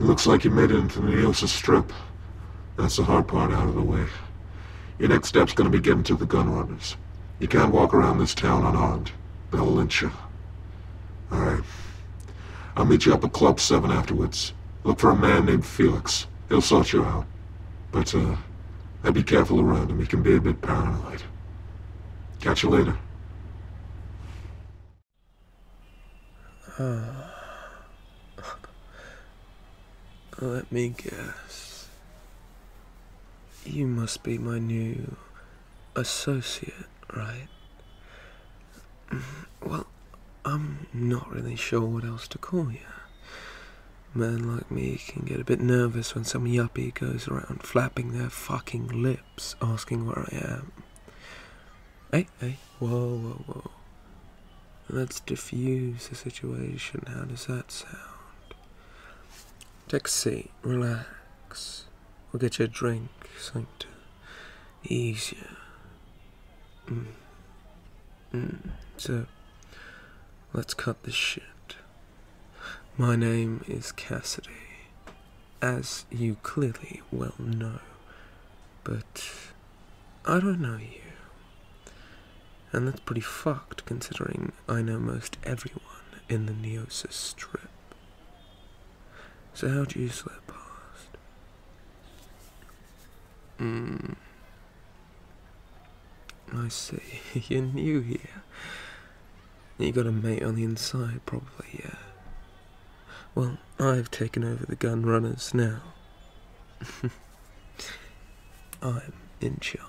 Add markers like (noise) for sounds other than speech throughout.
It looks like you made it into the Neos Strip. That's the hard part out of the way. Your next step's gonna be getting to the gun runners. You can't walk around this town unarmed. They'll lynch you. Alright. I'll meet you up at Club 7 afterwards. Look for a man named Felix. He'll sort you out. But, uh, I'd be careful around him. He can be a bit paranoid. Catch you later. Uh, let me guess. You must be my new associate, right? Mm, well, I'm not really sure what else to call you. Men like me can get a bit nervous when some yuppie goes around flapping their fucking lip asking where I am. Hey, hey, whoa, whoa, whoa. Let's diffuse the situation. How does that sound? Taxi, relax. We'll get you a drink, something to ease you. Mm. Mm. So, let's cut this shit. My name is Cassidy as you clearly well know. But I don't know you. And that's pretty fucked considering I know most everyone in the Neosis strip. So how'd you slip past? Hmm. I see. (laughs) You're new here. You got a mate on the inside, probably, yeah. Well, I've taken over the gun runners now. (laughs) I'm in charge.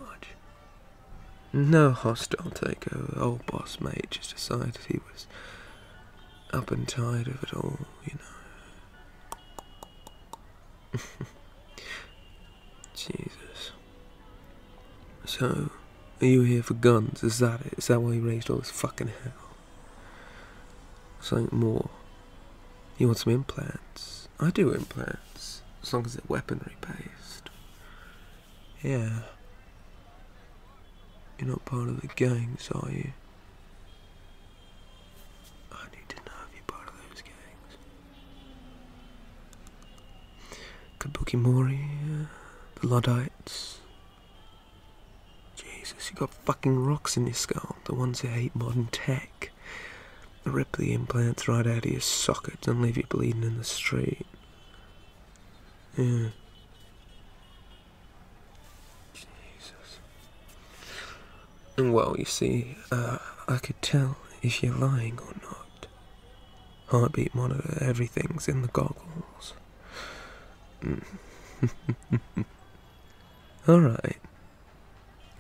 No hostile takeover. Old boss mate just decided he was up and tired of it all, you know. (laughs) Jesus. So, are you here for guns? Is that it? Is that why you raised all this fucking hell? Something more. You want some implants? I do implants. As long as they're weaponry based. Yeah. You're not part of the gangs, are you? I need to know if you're part of those gangs. Kabuki Mori, the Luddites, Jesus, you got fucking rocks in your skull. The ones that hate modern tech. They rip the implants right out of your sockets and leave you bleeding in the street. Yeah. Jesus. And well, you see, uh, I could tell if you're lying or not heartbeat monitor, everything's in the goggles. Mm. (laughs) Alright.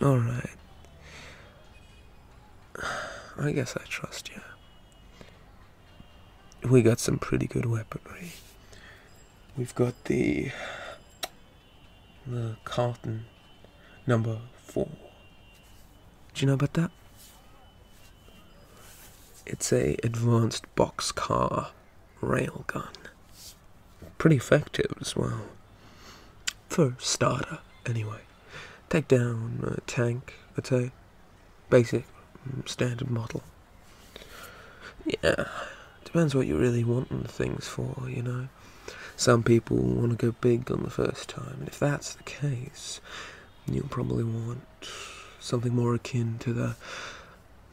Alright. (sighs) I guess I trust you. We got some pretty good weaponry. We've got the. the carton number four. Do you know about that? It's a advanced boxcar railgun. Pretty effective as well. For starter, anyway. Take down a tank, I'd say. Basic, mm, standard model. Yeah, depends what you really want the things for, you know. Some people want to go big on the first time, and if that's the case, you will probably want something more akin to the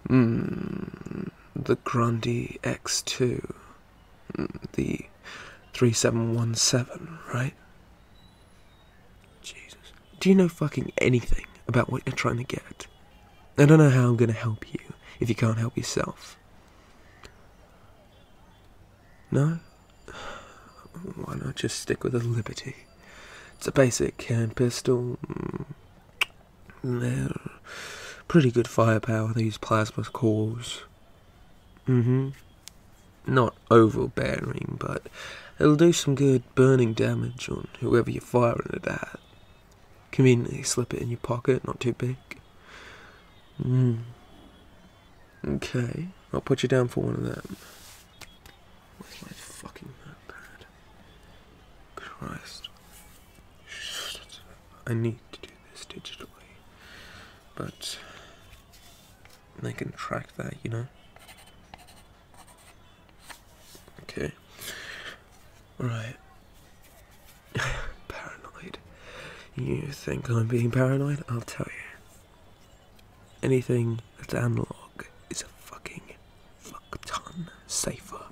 mm, the Grundy X2, hmm, the 3717, right? Jesus. Do you know fucking anything about what you're trying to get? I don't know how I'm going to help you if you can't help yourself. No? Why not just stick with a Liberty? It's a basic hand pistol. Mm. There, pretty good firepower, these plasma cores. Mm hmm. Not overbearing, but it'll do some good burning damage on whoever you're firing at. Conveniently slip it in your pocket, not too big. Mm. Okay, I'll put you down for one of them. Where's my fucking notepad? Christ. I need to do this digitally. But they can track that, you know? Okay. Right. (laughs) paranoid. You think I'm being paranoid? I'll tell you anything that's analog is a fucking fuck ton safer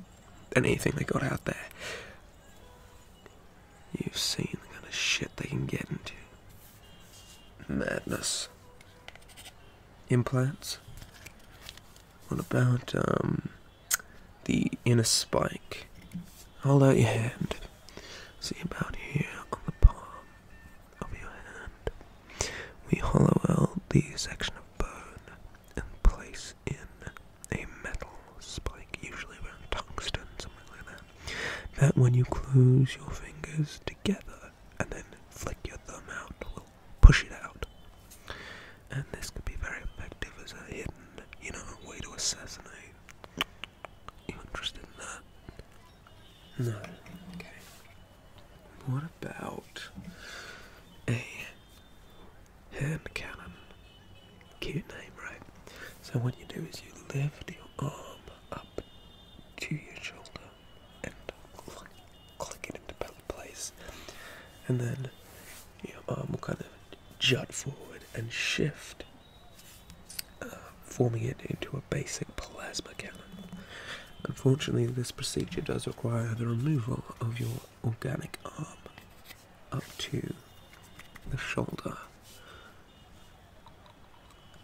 than anything they got out there. You've seen the kind of shit they can get into. Madness. Implants? What about, um, the inner spike? Hold out your hand. See about here on the palm of your hand. We hollow out the section of bone and place in a metal spike, usually around tungsten, something like that. That when you close your fingers together and then flick your thumb out, will push it out. And this could be very effective as a hidden, you know, way to assassinate. You interested in that? No. Okay. What about a hand cannon? Cute name, right? So what you do is you lift your arm up to your shoulder and click it into place, and then your arm will kind of jut forward and shift forming it into a basic plasma cannon. Unfortunately, this procedure does require the removal of your organic arm up to the shoulder.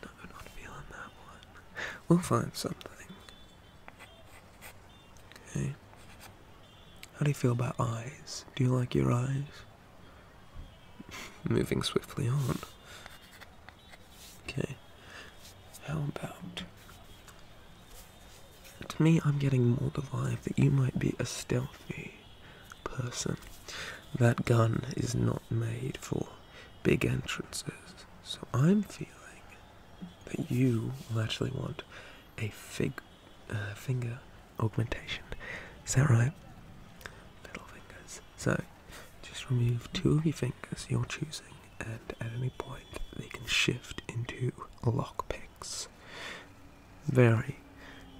No, not feeling that one. We'll find something. Okay. How do you feel about eyes? Do you like your eyes? (laughs) Moving swiftly on. Okay. How about to me I'm getting more the that you might be a stealthy person. That gun is not made for big entrances. So I'm feeling that you will actually want a fig uh, finger augmentation. Is that right? Middle fingers. So just remove two of your fingers you're choosing, and at any point they can shift into lockpicks. Very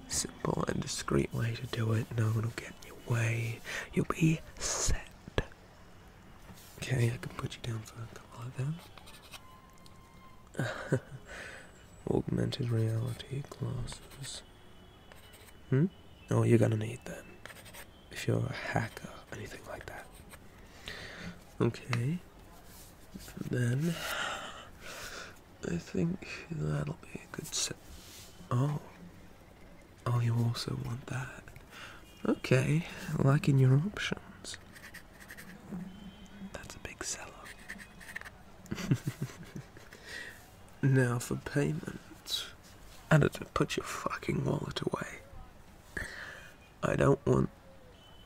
simple and discreet way to do it. No one will get in your way. You'll be set. Okay, I can put you down for a couple of them. (laughs) Augmented reality glasses. Hmm? Oh, you're gonna need them. If you're a hacker, anything like that. Okay. Then. I think that'll be a good set. Oh. Oh, you also want that. Okay, liking your options. That's a big seller. (laughs) Now for payment. Editor, put your fucking wallet away. I don't want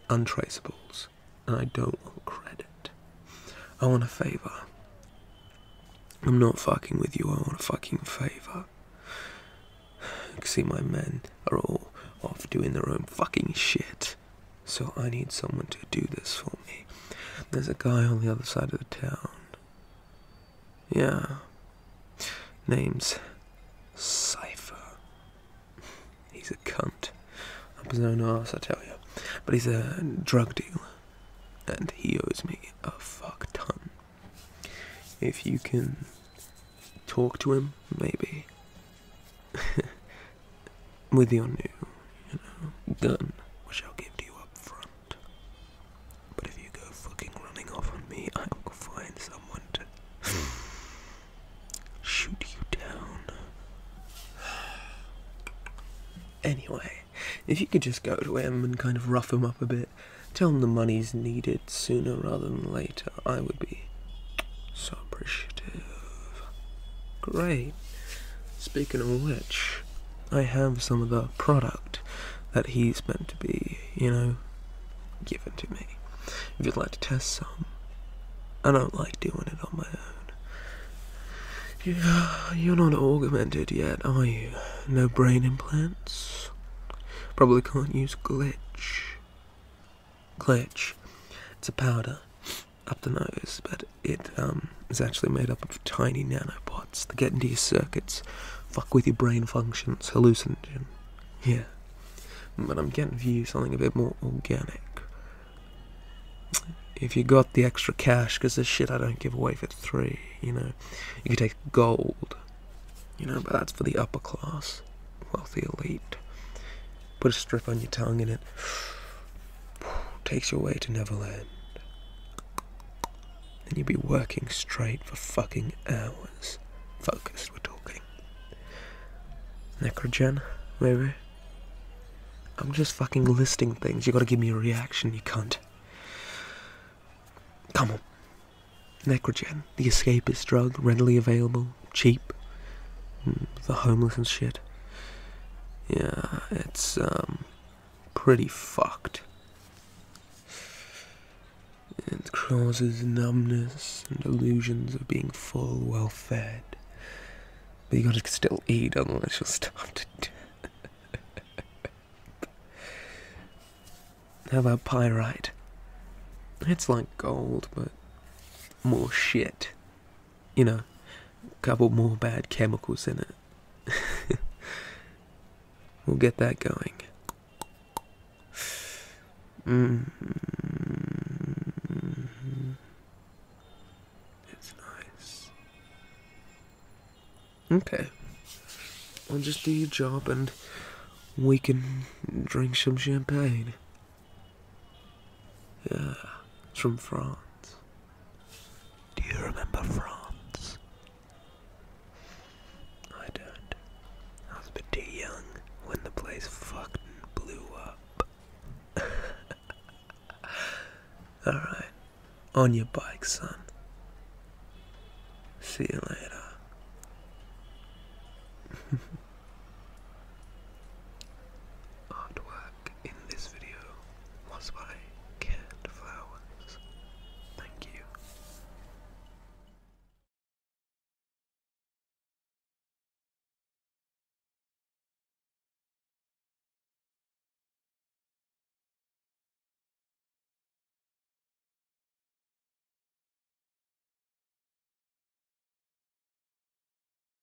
untraceables, and I don't want credit. I want a favour. I'm not fucking with you, I want a fucking favour. (sighs) See, my men are all off doing their own fucking shit, so I need someone to do this for me. There's a guy on the other side of the town yeah. Name's Cypher. He's a cunt. Up his own ass, I tell you. But he's a drug dealer. And he owes me a fuck ton. If you can talk to him, maybe. (laughs) With your new, gun, which I'll give to you up front. But if you go fucking running off on me, I will find someone to (sighs) shoot you down. (sighs) Anyway, if you could just go to him and kind of rough him up a bit, tell him the money's needed sooner rather than later, I would be so appreciative. Great. Speaking of which, I have some of the product that he's meant to be, you know, given to me. If you'd like to test some, I don't like doing it on my own. you're not augmented yet, are you? No brain implants? Probably can't use glitch. Glitch. It's a powder up the nose, but it um, is actually made up of tiny nanopods that get into your circuits, fuck with your brain functions, hallucinogen. Yeah. But I'm getting for you something a bit more organic. If you got the extra cash, because this shit I don't give away for three, you know, you could take gold, you know, but that's for the upper class, wealthy elite. Put a strip on your tongue and it takes you away to Neverland. and you would be working straight for fucking hours. Focused, we're talking. Necrogen, maybe? I'm just fucking listing things. You gotta give me a reaction, you cunt. Come on. Necrogen, the escapist drug, readily available, cheap. for mm, homeless and shit. Yeah, it's um, pretty fucked. It causes numbness and illusions of being full, well fed. But you gotta still eat, unless you'll starve to How about pyrite? It's like gold, but more shit you know, a couple more bad chemicals in it. (laughs) we'll get that going. Mm-hmm. It's nice. Okay. I'll just do your job and we can drink some champagne. Yeah, it's from France. Do you remember France? I don't. I was a bit too young when the place fucked and blew up. (laughs) Alright, on your bike, son. See you later. (laughs) Artwork in this video was by Cat Flowers. Thank you.